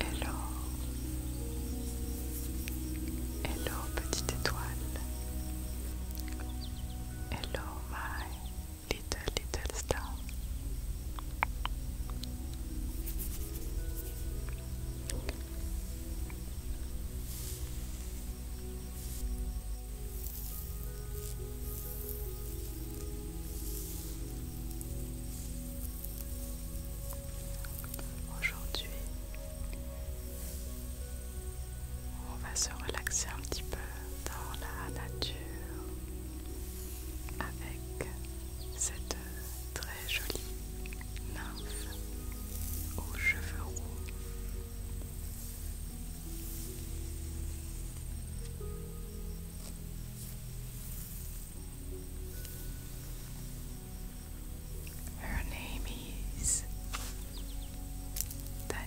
Hello, hello petite étoile, hello my little little star. Aujourd'hui, on va se relaxer un petit peu dans la nature avec cette très jolie nymphe aux cheveux roux Her name is Daniela.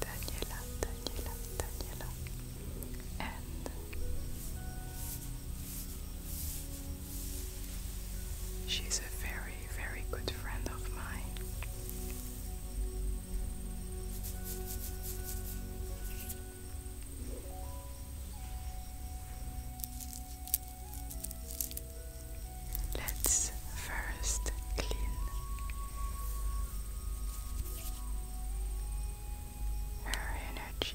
Daniela, Daniela, Daniela. She's a very, very good friend of mine. Let's first clean her energy.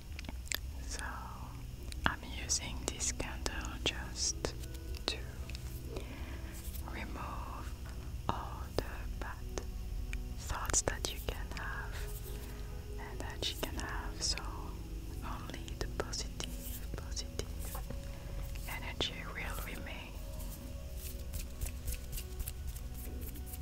So I'm using this candle just to remove all the bad thoughts that you can have and that you can have. So only the positive, positive energy will remain. Okay.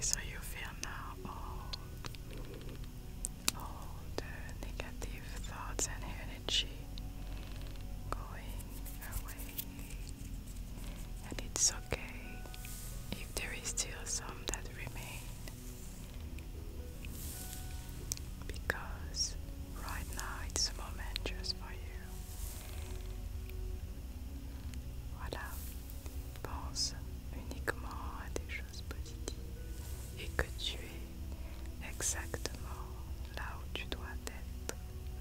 so you feel now all, all the negative thoughts and energy going away and it's okay if there is still some that remain because right now it's a moment for you. Voilà, pense uniquement à des choses positives et que tu es exactement là où tu dois être.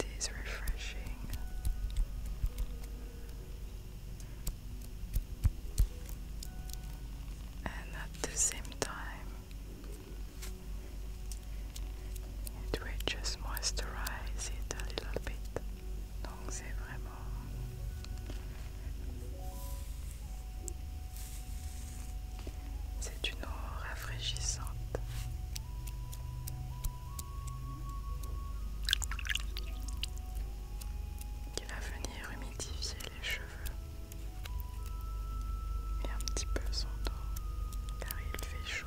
It is refreshing. And at the same time, it just moisturize it a little bit. Donc c'est vraiment c'est une eau rafraîchissante qui va venir humidifier les cheveux et un petit peu son dos car il fait chaud.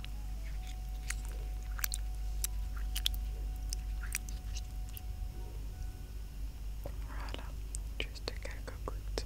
Voilà, juste quelques gouttes.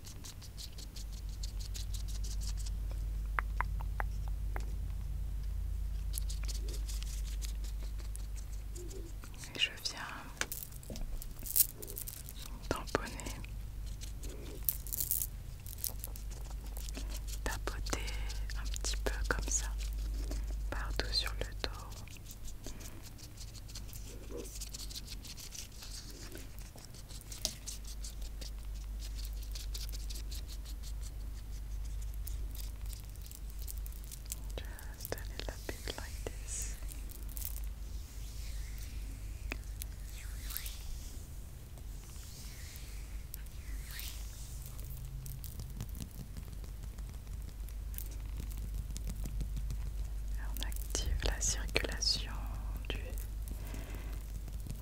je viens tamponner, tapoter un petit peu comme ça, partout sur le dos. Just a little bit like this. On active la circulation du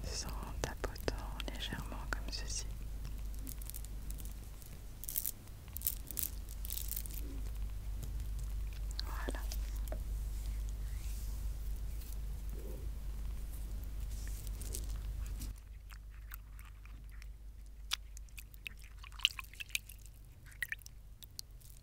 sang tapotant légèrement comme ceci. Voilà.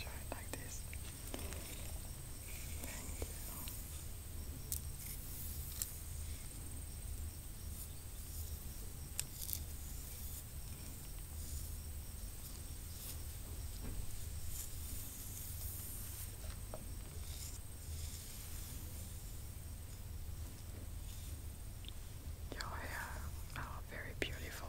Try it like this. Thank you. Uh, Your oh, hair are very beautiful.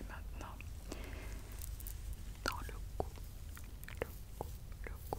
et maintenant dans le cou, le cou, le cou.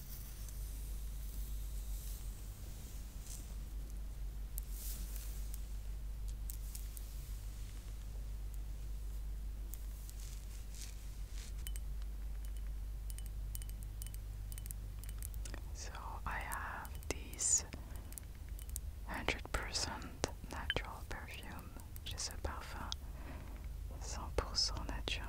So I have this 100% natural perfume, which is a parfum 100% naturel.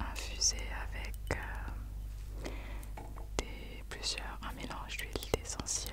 infusé avec euh, des, plusieurs, un mélange d'huile essentielle.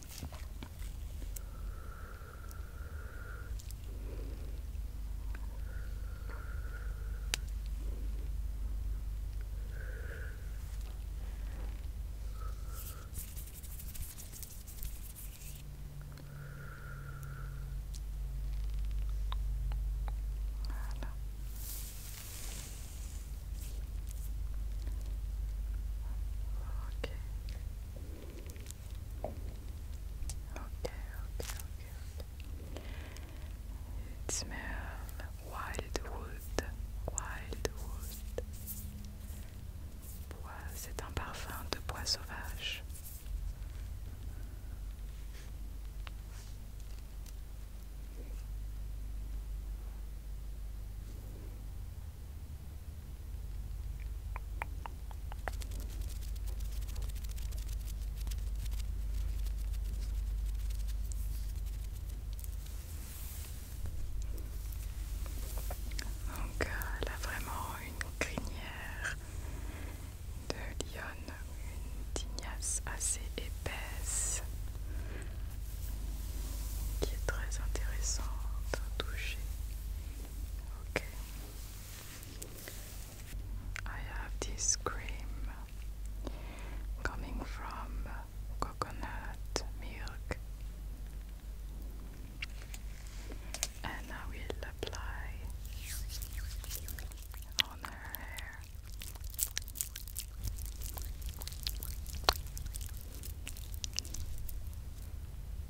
Voilà. Ok. Okay, okay, okay, It smells wildwood, wildwood. Bois, c'est un parfum de bois sauvage. Donc euh, elle a vraiment une crinière de lionne, une tignasse assez épaisse qui est très intéressante à toucher. Okay. I have this cream coming from coconut milk, and I will apply on her hair.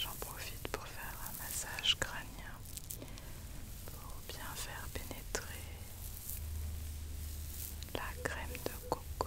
J'en profite pour faire un massage crânien pour bien faire pénétrer la crème de coco.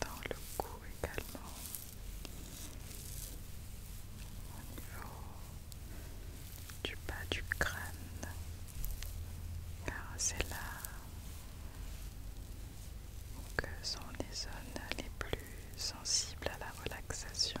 dans le cou également au niveau du bas du crâne car c'est là que sont les zones les plus sensibles à la relaxation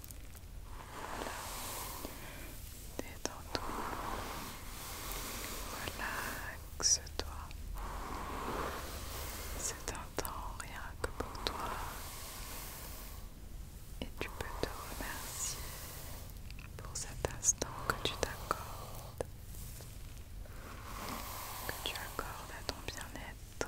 Détends-toi. Relaxe-toi. C'est un temps rien que pour toi. Et tu peux te remercier pour cet instant que tu t'accordes. Que tu accordes à ton bien-être.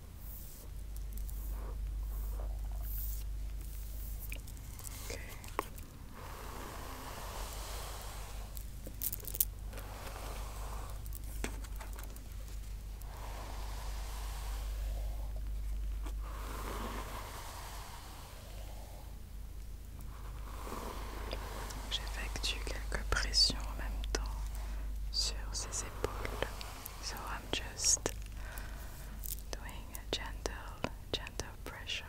J'effectue quelques pressions en même temps sur ses épaules. So I'm just doing a gentle, gentle pressure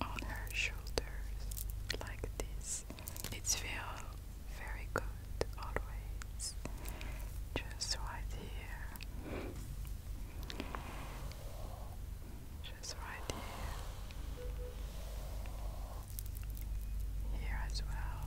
on her shoulders like this. It's feel very good always. Just right here. Just right here. Here as well.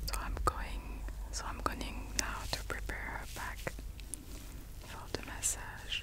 So I'm going so I'm going now to prepare a bag for the massage.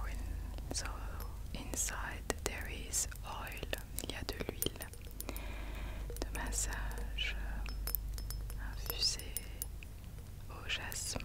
Oh, in, so inside there is oil, il y a de l'huile. de massage euh, infusé au jasmin.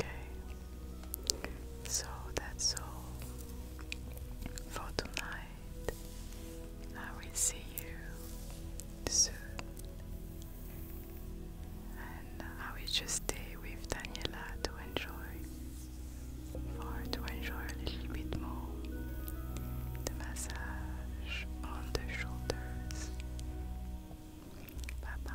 Okay, so that's all for tonight night. I will see you soon. And I will just stay with Daniela to enjoy, for to enjoy a little bit more the massage on the shoulders. Bye bye.